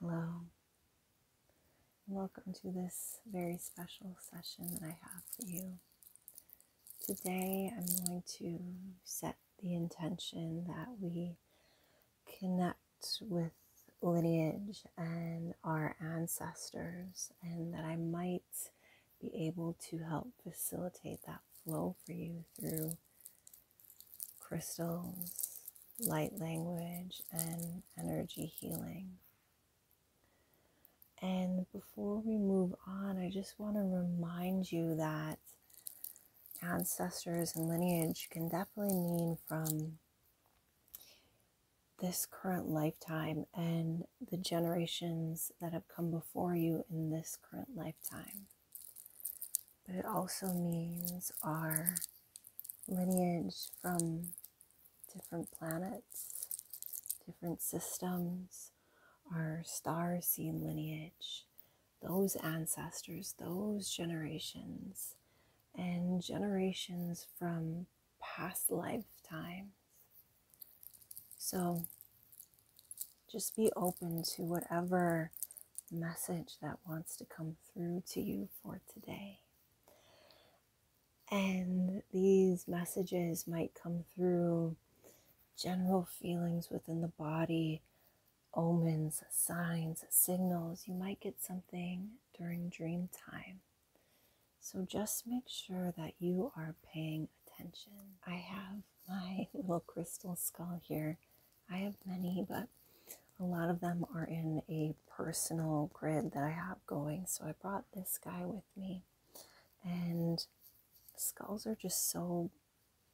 Hello, welcome to this very special session that I have for you. Today, I'm going to set the intention that we connect with lineage and our ancestors, and that I might be able to help facilitate that flow for you through crystals, light language, and energy healing. And before we move on, I just want to remind you that ancestors and lineage can definitely mean from this current lifetime and the generations that have come before you in this current lifetime, but it also means our lineage from different planets, different systems, our star seen lineage, those ancestors, those generations, and generations from past lifetimes so just be open to whatever message that wants to come through to you for today. And these messages might come through general feelings within the body, omens, signs, signals. You might get something during dream time. So just make sure that you are paying attention. I have my little crystal skull here. I have many, but a lot of them are in a personal grid that I have going. So I brought this guy with me. And skulls are just so,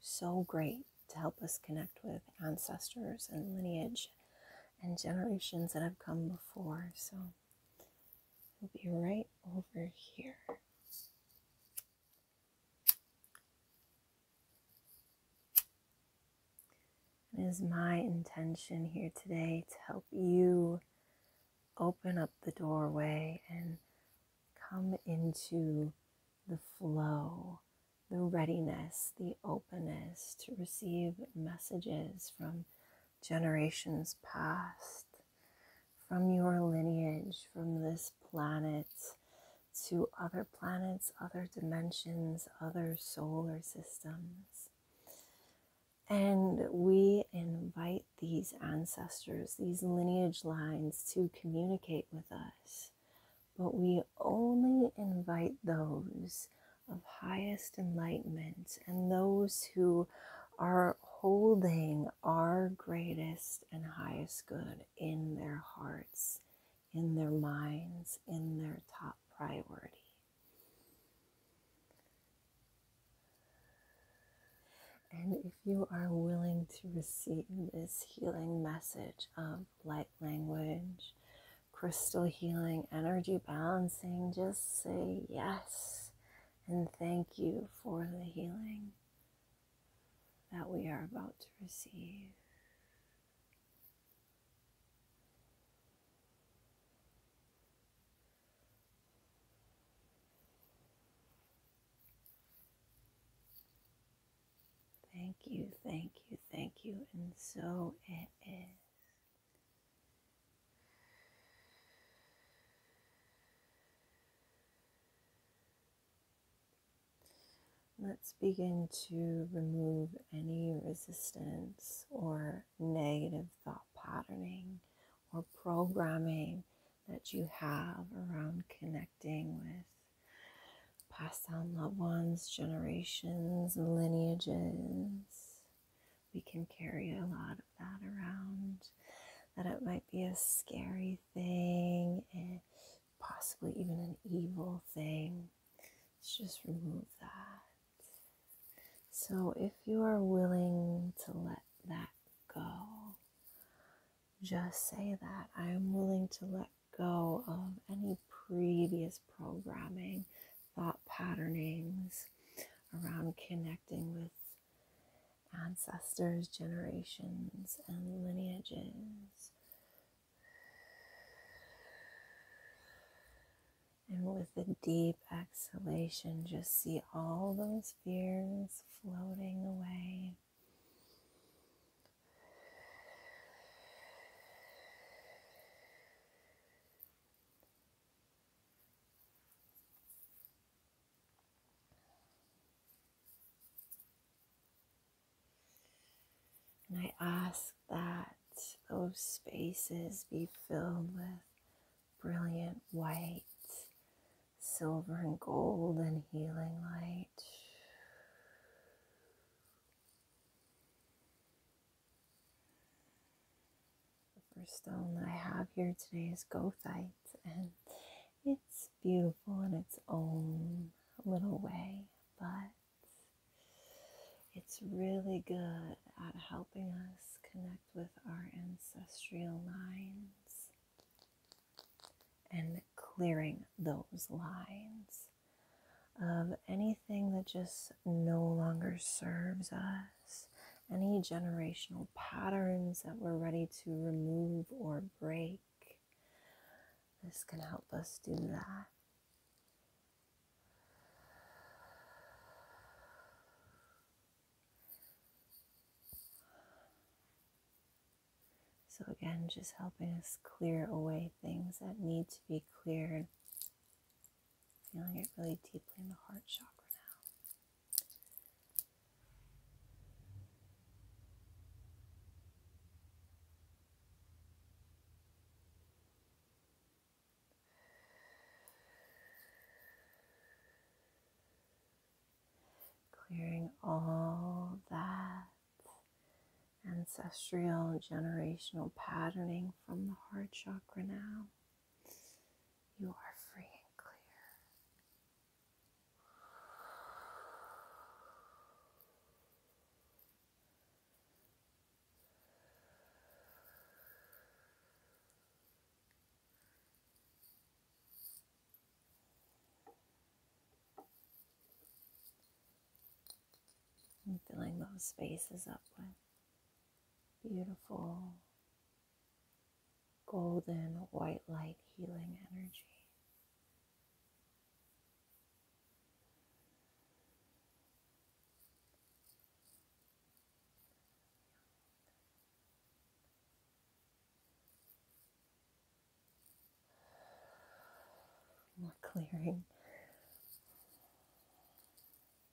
so great to help us connect with ancestors and lineage and generations that have come before. So will be right over here. It is my intention here today to help you open up the doorway and come into the flow, the readiness, the openness to receive messages from generations past, from your lineage, from this planet to other planets, other dimensions, other solar systems. And we invite these ancestors, these lineage lines to communicate with us. But we only invite those of highest enlightenment and those who are holding our greatest and highest good in their hearts, in their minds, in their top priority. And if you are willing to receive this healing message of light language, crystal healing, energy balancing, just say yes and thank you for the healing that we are about to receive. Thank you, thank you, thank you, and so it is. Let's begin to remove any resistance or negative thought patterning or programming that you have around connecting with past down loved ones, generations, lineages we can carry a lot of that around. That it might be a scary thing and eh, possibly even an evil thing. Let's just remove that. So, if you are willing to let that go, just say that I am willing to let go of any previous programming thought patternings around connecting with ancestors, generations, and lineages. And with a deep exhalation, just see all those fears floating away. And I ask that those spaces be filled with brilliant white, silver, and gold and healing light. The first stone I have here today is gothite, and it's beautiful in its own little way, but it's really good at helping us connect with our ancestral lines and clearing those lines of anything that just no longer serves us, any generational patterns that we're ready to remove or break. This can help us do that. So, again, just helping us clear away things that need to be cleared Feeling it really deeply in the heart chakra now. Clearing all that ancestral generational patterning from the heart chakra now. You are free and clear and filling those spaces up with beautiful golden white light healing energy. More clearing.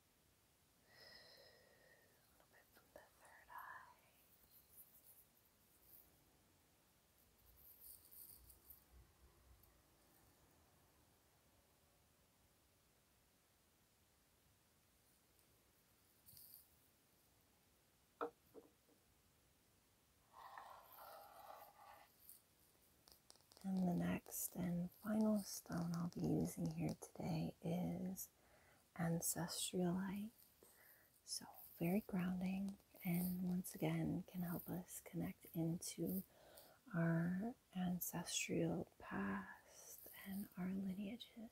little bit from the third eye. And the next and final stone I'll be using here today is ancestralite. So, very grounding, and once again, can help us connect into our ancestral past and our lineages.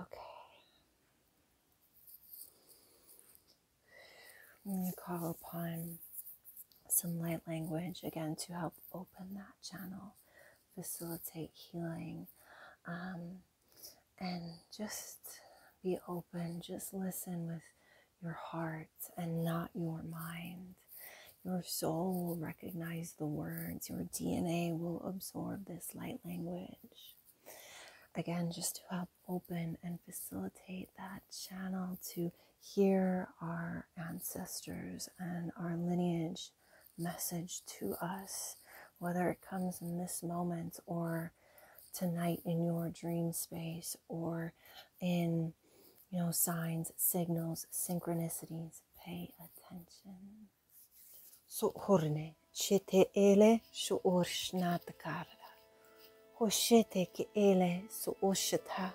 Okay. I'm going to call upon some light language again to help open that channel, facilitate healing, um, and just be open. Just listen with your heart and not your mind. Your soul will recognize the words, your DNA will absorb this light language. Again, just to help open and facilitate that channel to hear our ancestors and our lineage message to us, whether it comes in this moment or tonight in your dream space or in you know signs signals synchronicities pay attention So سؤهرنا شتئله شؤور شنات كارلا هشتك إله سؤوشتها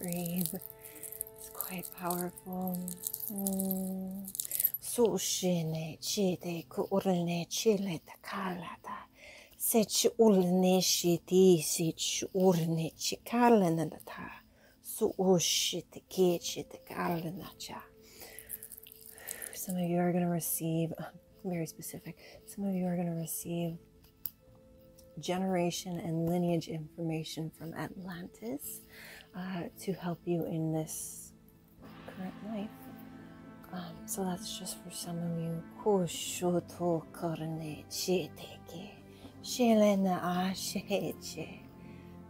Breathe. It's quite powerful. Mm. Sushine chide ku urne chile takalata. Sech urne shiti sech urne chikalanata. Sushite kechite kalanacha. Some of you are going to receive, very specific, some of you are going to receive generation and lineage information from Atlantis uh, to help you in this current life. Um, so that's just for some of you. Koshoto karne chiteke, shelena asheche,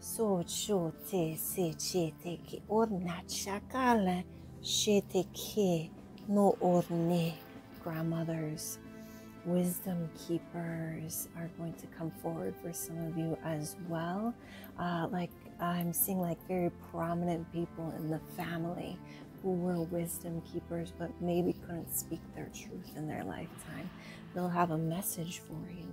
socho te se chiteke, orna chakala chiteke no ordinary grandmothers, wisdom keepers are going to come forward for some of you as well. Uh, like I'm seeing like very prominent people in the family who were wisdom keepers, but maybe couldn't speak their truth in their lifetime. They'll have a message for you.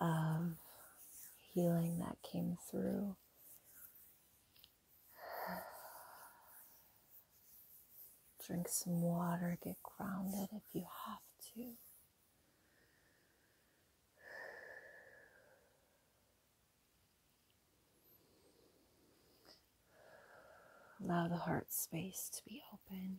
of healing that came through. Drink some water, get grounded if you have to. Allow the heart space to be open.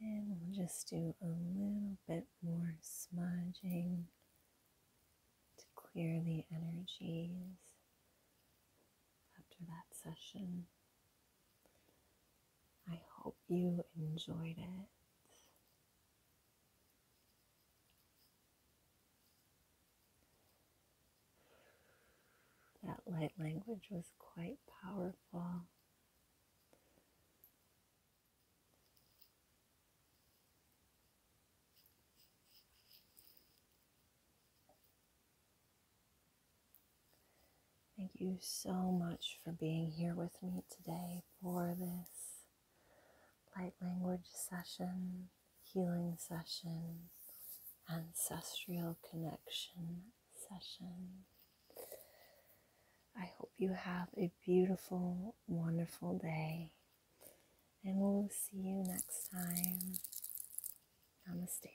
And we'll just do a little bit more smudging to clear the energies after that session. I hope you enjoyed it. That light language was quite powerful. Thank you so much for being here with me today for this light language session, healing session, ancestral connection session. I hope you have a beautiful, wonderful day, and we'll see you next time. Namaste.